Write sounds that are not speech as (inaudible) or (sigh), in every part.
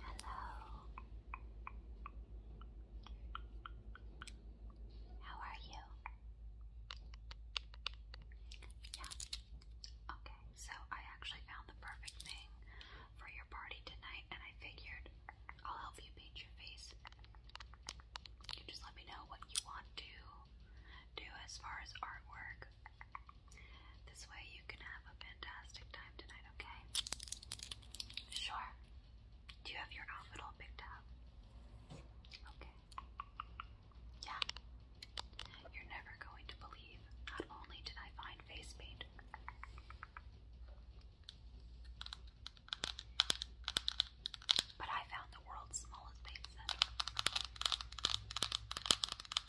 Hello. How are you? Yeah. Okay, so I actually found the perfect thing for your party tonight, and I figured I'll help you paint your face. You just let me know what you want to do as far as artwork. This way you can have a fantastic time tonight, okay? Sure. Do you have your outfit all picked out? Okay. Yeah. You're never going to believe not only did I find face paint. But I found the world's smallest paint set.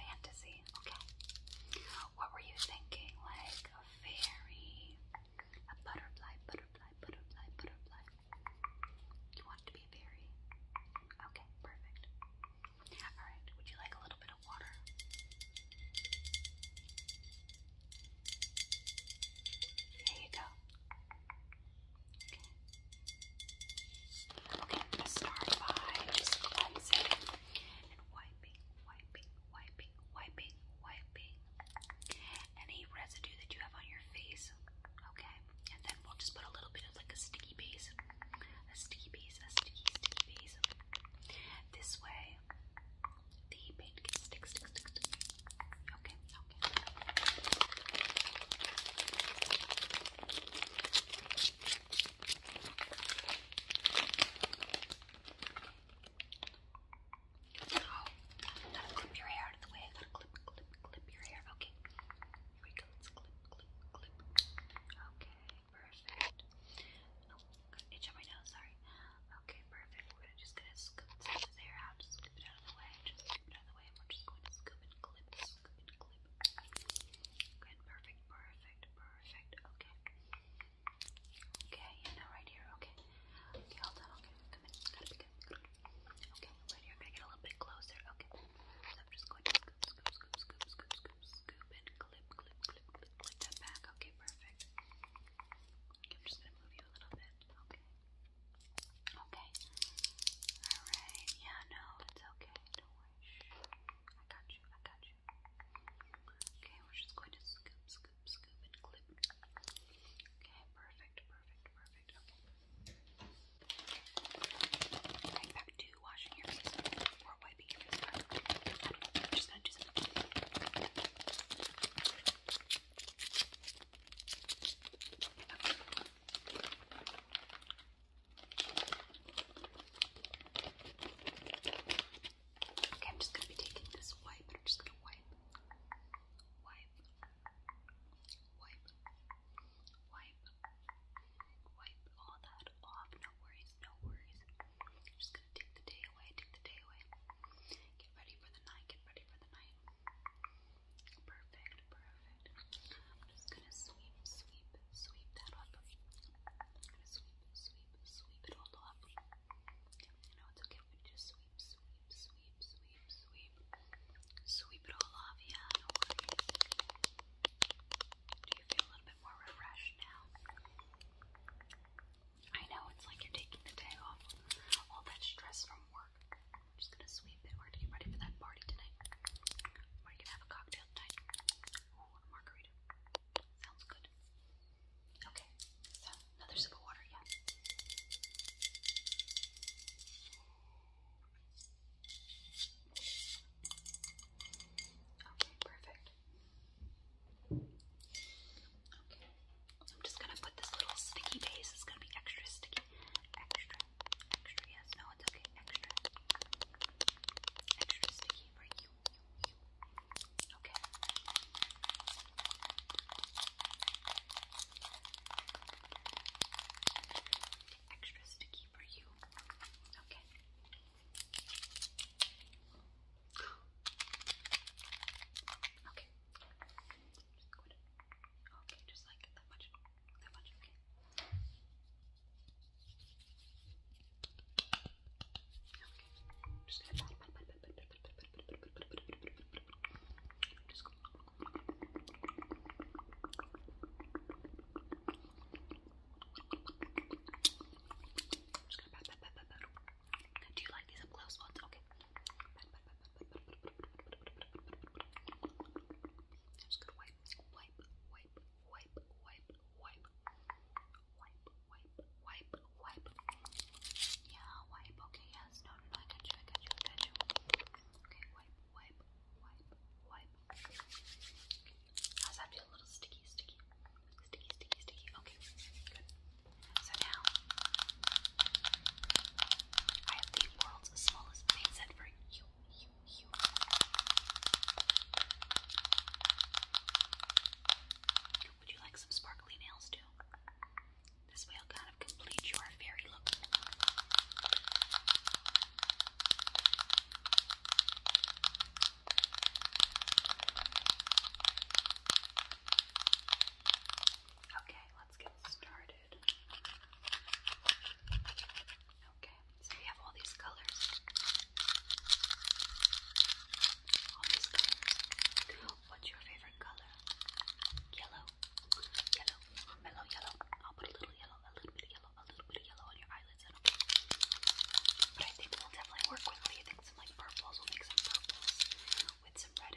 Fantasy, okay. What were you thinking? Like a fairy, a butterfly, butterfly, butterfly, butterfly. You want it to be a fairy? Okay, perfect. Alright, would you like a little bit of water? There you go. Okay. Okay, I'm start by cleansing and wiping, wiping, wiping, wiping, wiping any residue that you have on your face. Okay, and then we'll just put a little bit of like a sticky base, a sticky base, a sticky, sticky base. This way, the paint can stick, Okay, Oh, gotta clip your hair out of the way. I gotta clip, clip, clip your hair. Okay. Here we go. Let's clip, clip, clip. Okay, perfect. Oh, got itch on my nose. Sorry. Okay, perfect. We're gonna just gonna scoop some of his hair out. Just scoop it out of the way. Just scoop it out of the way. And we're just going to scoop and clip, scoop and clip, Good, perfect, perfect, perfect. Okay. Okay, yeah, now right here. Okay. Okay, all done. come in. Okay, right here. gonna get a little bit closer. Okay. So I'm just going to scoop, scoop, scoop, scoop, scoop, scoop, scoop, and clip, clip, clip, clip, clip that back. Okay, perfect. I'm just gonna move you a little bit. Okay. Okay. Alright. Yeah, no, it's okay. I got you, I got you. Okay, we're just going to scoop, scoop, scoop, and clip. Okay, perfect, perfect, perfect. Okay. Right back to washing your face or wiping your face. just gonna do something. Okay, I'm just gonna be taking this wipe and I'm just gonna wipe, wipe, wipe, wipe, wipe all that off. No worries, no worries. just gonna take the day away, take the day away. Get ready for the night, get ready for the night. Perfect, perfect. I'm just gonna sweep, sweep, sweep that up. I'm gonna sweep, sweep, sweep it all up. You know, it's okay we just sweep, sweep, sweep, sweep, sweep. Sweep it all off, yeah, Do you feel a little bit more refreshed now? I know, it's like you're taking the day off. All that stress from work. I'm just gonna sweep it. We're gonna get ready for that party tonight. We're gonna have a cocktail tonight. Ooh, a margarita. Sounds good. Okay, so another sip of water, yeah. Okay, perfect. Okay, I'm just gonna put this little sticky base. It's gonna be extra sticky, extra, Extra, yes, no, it's okay. Extra. Extra sticky for you. Okay. Extra sticky for you. Okay. (gasps) Okay. okay, just like that much that Okay, just gonna pat Do you like these up close ones? Okay. I'm just gonna wipe, wipe, wipe, wipe, wipe, wipe, wipe, wipe, wipe, wipe. Yeah, wipe. Okay, yes. No, no, no. I got you. I got you. I got you. Okay, wipe, wipe, wipe, wipe. How's that feel? A little sticky, sticky, sticky, sticky, sticky. Okay, good. So now I have the world's smallest paint set for you, you, you. Would you like some sparkly nails too? This will kind of complete your fairy look. Okay, let's get started. Okay, so we have all these colors. All these colors. What's your favorite color? Yellow. Yellow. Mellow yellow. I'll put a little yellow, a little bit of yellow, a little bit of yellow on your eyelids. I but I think we'll definitely work with what do you think? Some like purples. We'll make some purples with some red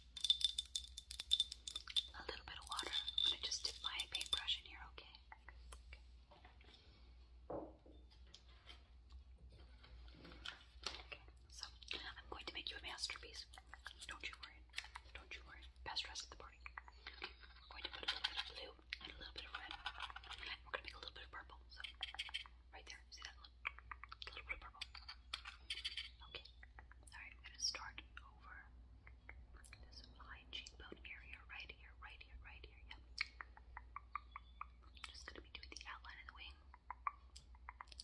a little bit of water. I'm going to just dip my paintbrush in here, okay? okay? so I'm going to make you a masterpiece. Don't you worry. Don't you worry. Best dress at the party. I'm going to put a little bit of blue and a little bit of red. We're going to make a little bit of purple. So, right there. See that a little Okay, alright, I'm gonna start over this high cheekbone area right here, right here, right here. Yep. just gonna be doing the outline of the wing.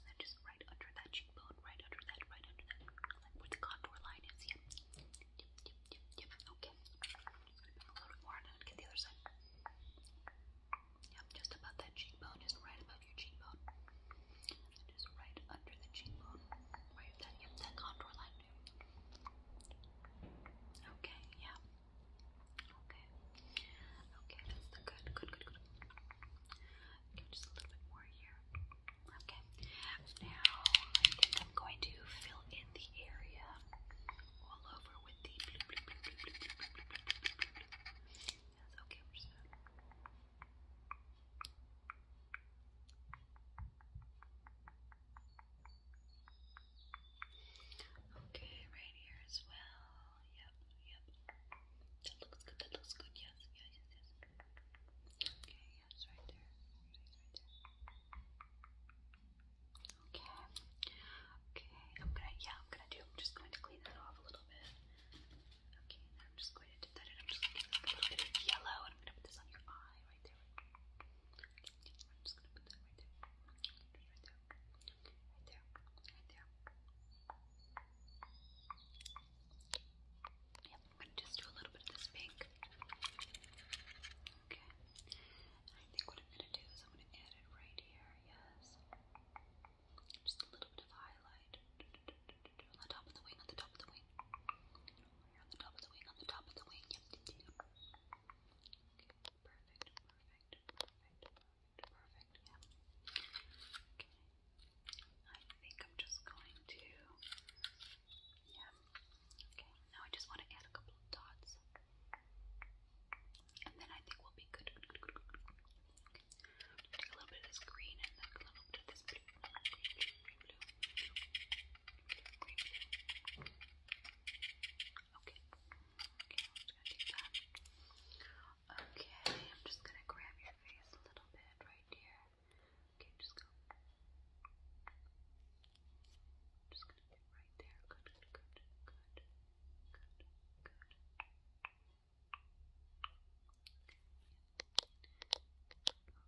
then just right under that cheekbone, right under that, right under that, like where the contour line is. Yep. Yep, yep, yep, Okay. a little more on get the other side. Yep, just above that cheekbone, just right above your cheekbone. just right under the cheekbone. Where you that, that contour line Okay, yeah. Okay. Okay, that's the good, good, good, good. just a little bit more here. Okay. Now I am going to fill in the area all over with the Yes, okay, we Okay, right here as well. Yep, yep. That looks good, that looks good, yes, yes, yes, yes. Okay, yes, right there. Right there. Okay. Okay. I'm yeah, I'm gonna do I'm just going to clean that off a little bit. Okay, I'm just going to dip that in. I'm just gonna get a little bit of yellow and I'm gonna put this on your eye right there. I'm just gonna put that right there. Just right there. Right there. Right there. Yep, I'm gonna just do a little bit of this pink. Okay. I think what I'm gonna do is I'm gonna add it right here areas. Just a little bit of highlight on the top of the wing, on the top of the wing. On the top of the wing, on the top of the wing. Yep. perfect, perfect, perfect, perfect, perfect. Yeah. Okay. I think I'm just going to. Yeah. Okay. Now I just want to add a couple of dots. And then I think we'll be good. Take a little bit of this green and a little bit of this blue. Okay. Okay, I'm just gonna take that. Okay, I'm just gonna grab your face a little bit right here. Okay, just go. Just right there. Good, good, good, good, good,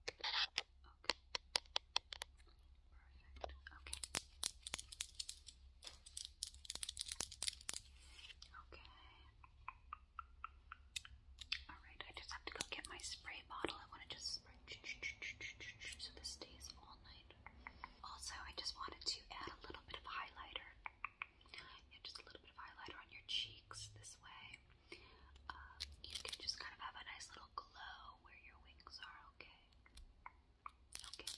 Okay, okay. Perfect. Okay. Okay. Alright, I just have to go get my spray bottle. I want to just spray so this stays all night. Also, I just wanted to add a little bit of highlighter. just a little bit of highlighter on your cheeks this way. Uh, you can just kind of have a nice little glow where your wings are, okay? Okay.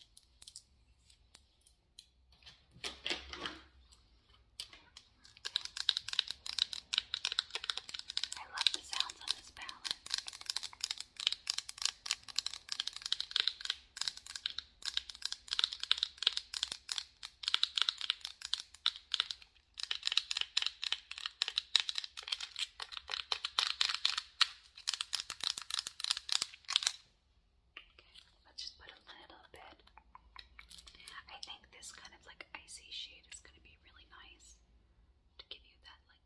I love the sounds on this palette let's just put a little bit. I think this kind of like icy shade is going to be really nice to give you that like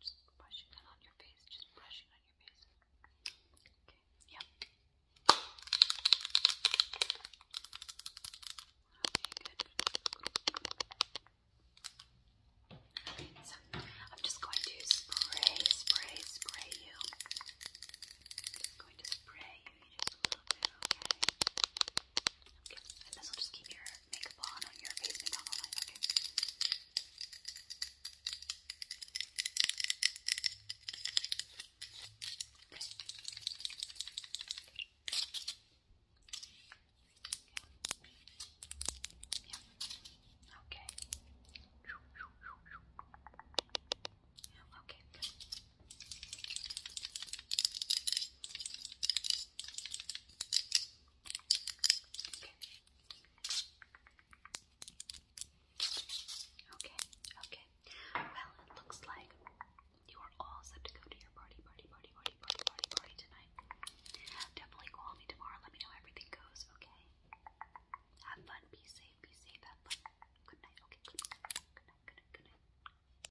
just brushing that on your face. Just brushing on your face. Okay. Yep. Okay, good. I'm just going to spray, spray, spray you. going to spray you a little bit, okay? Okay. And this will just keep your makeup on on your face makeup all night. Okay. Okay. Yeah. Okay. Yeah, okay, good. Okay, okay. Well, it looks like you are all set to go to your party, party, party, party, party, party, party tonight. Definitely call me tomorrow. Let me know everything goes, okay? Have fun. Be safe. Be safe. Have fun. Good night. Okay, Good night. Good night. Good night.